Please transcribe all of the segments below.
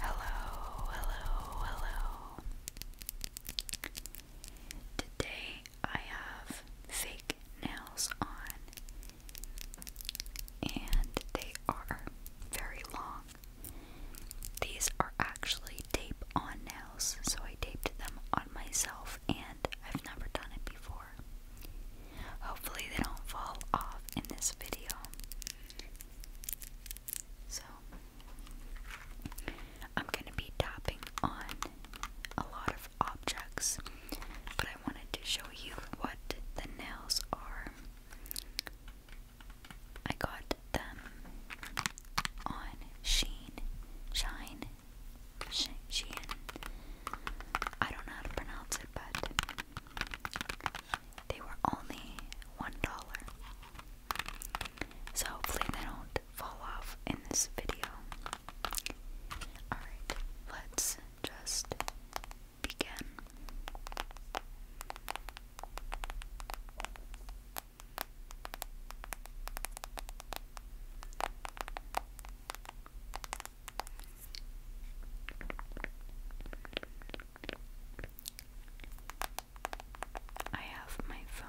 Hello, hello, hello. Today I have fake nails on, and they are very long. These are actually tape on nails, so I taped them on myself, and I've never done it before. Hopefully, they don't fall off in this video. So, I'm going to be tapping on a lot of objects, but I wanted to show you what the nails are. I got them on Sheen, Shine, Sh I don't know how to pronounce it, but they were only one dollar. So hopefully they don't fall off in this video. Alright, let's just begin. I have my phone.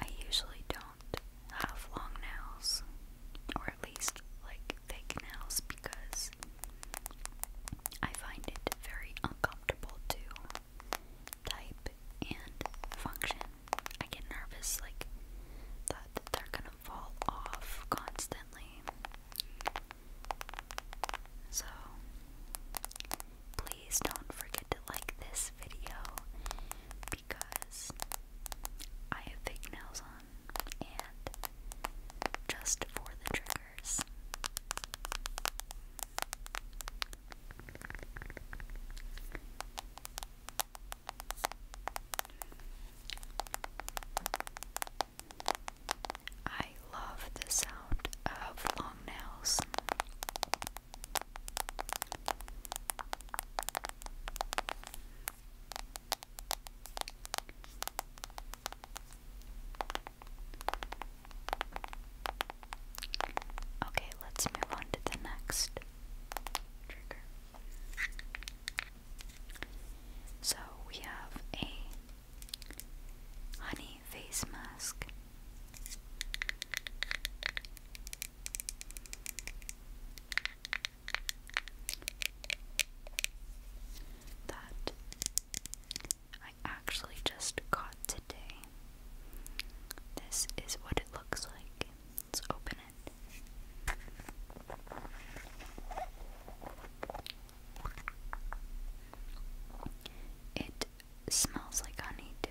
I usually don't have long nails, or at least like fake nails, because I find it very uncomfortable to type and function. I get nervous, like, that they're gonna fall off constantly. So, please don't forget to like this video because I have big nails on and just for the triggers. I love the sound of long nails. Okay, let's move on to the next trigger. So we have a honey face mask. That I actually just got today. This is what it looks like. Let's open it. smells like honey, too.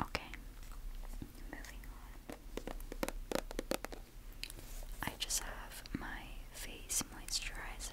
Okay, moving on. I just have my face moisturizer.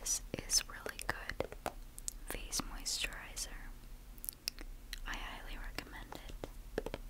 This is really good face moisturizer. I highly recommend it.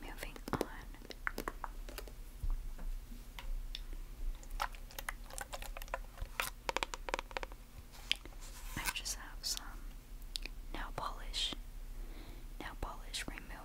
Moving on. I just have some nail polish, nail polish remover.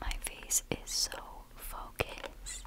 My face is so focused.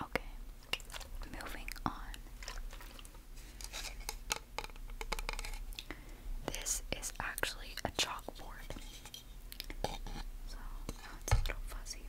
Okay, moving on. This is actually a chalkboard. So, it's a little fuzzy.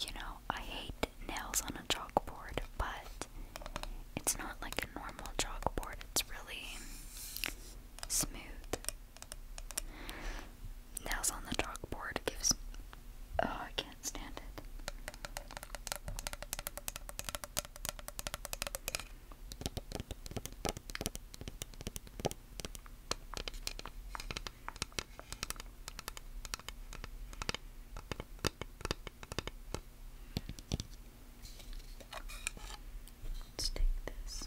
You know, I hate nails on a chalkboard, but it's not like a normal chalkboard, it's really smooth. Nails on the chalkboard gives. Oh, I can't stand it. Let's take this.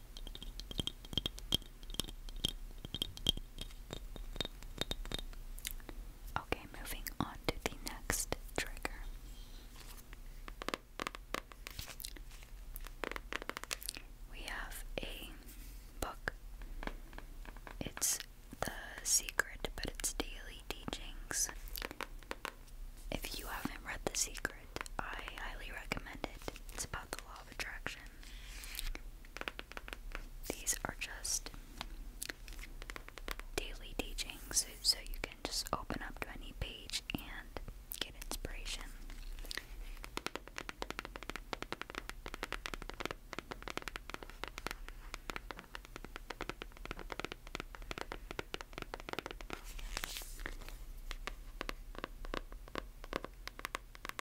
Okay, moving on to the next trigger. We have a book. It's The Secret, but it's daily teachings. If you haven't read The Secret, I highly recommend it. It's about the law of attraction. These are just daily teachings, so you can just open up to any page and get inspiration.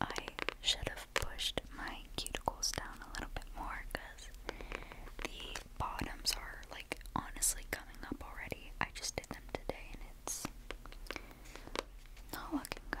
I should have pushed my cuticles down a little bit more because the bottoms are like honestly coming up already. I just did them today and it's not looking good.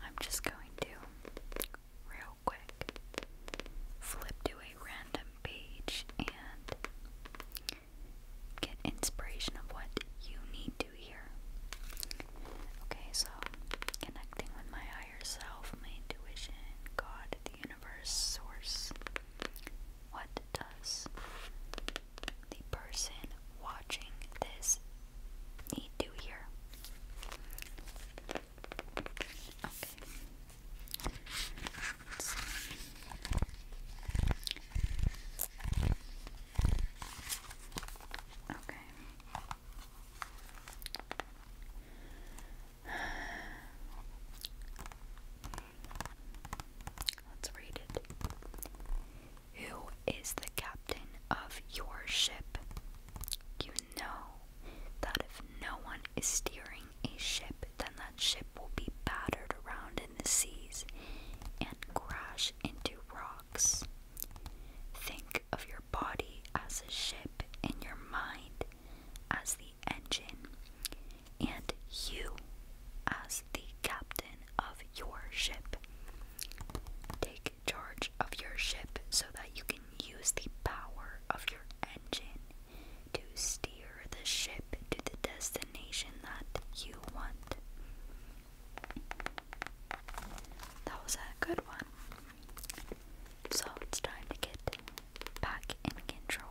I'm just going to real quick Flip to a random page and get inspiration of what you need to hear. Okay, so connecting with my higher self, my intuition, God, the universe, source. What does the person watching this need to hear? Okay, Okay. Let's read it. Who is the captain of your ship? You know that if no one is steering a ship, then that ship will be battered around in the seas and crash into rocks. Think of your body as a ship and your mind as the engine, and you as the captain of your ship. Take charge of your ship so that you can use the power of your engine to steer the ship to the destination that you want. That was a good one. So it's time to get back in control.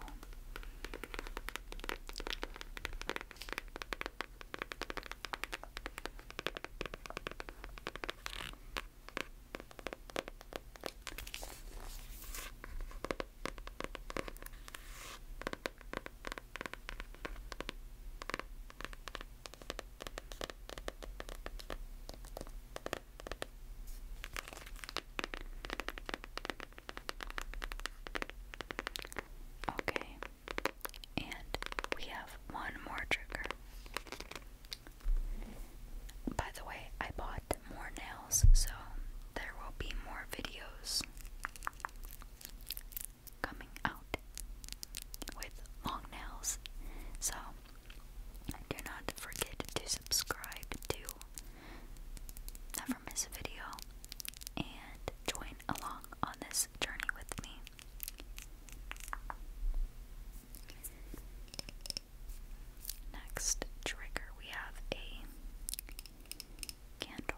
Okay, and we have one more trigger. By the way, I bought more nails, so there will be more videos coming out with long nails. So do not forget to subscribe to never miss a video and join along on this journey with me. Next trigger, we have a candle.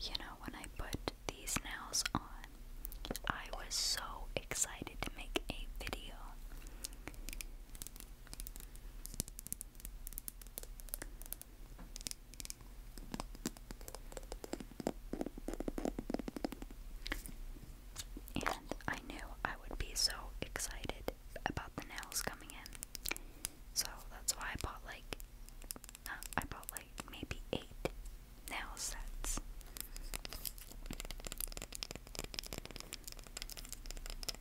You know, when I put these nails on, I was so excited to make a video. And I knew I would be so excited about the nails coming in. So that's why I bought like, uh, I bought like maybe eight nail sets.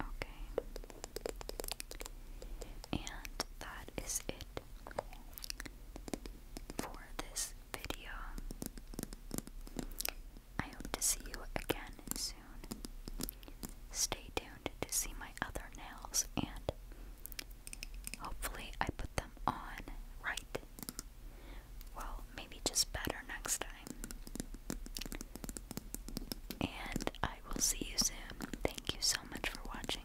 Okay. And that is it for this video. I hope to see you again soon. Stay tuned to see my other nails and Hopefully, I put them on right. Well, maybe just better next time. And I will see you soon. Thank you so much for watching.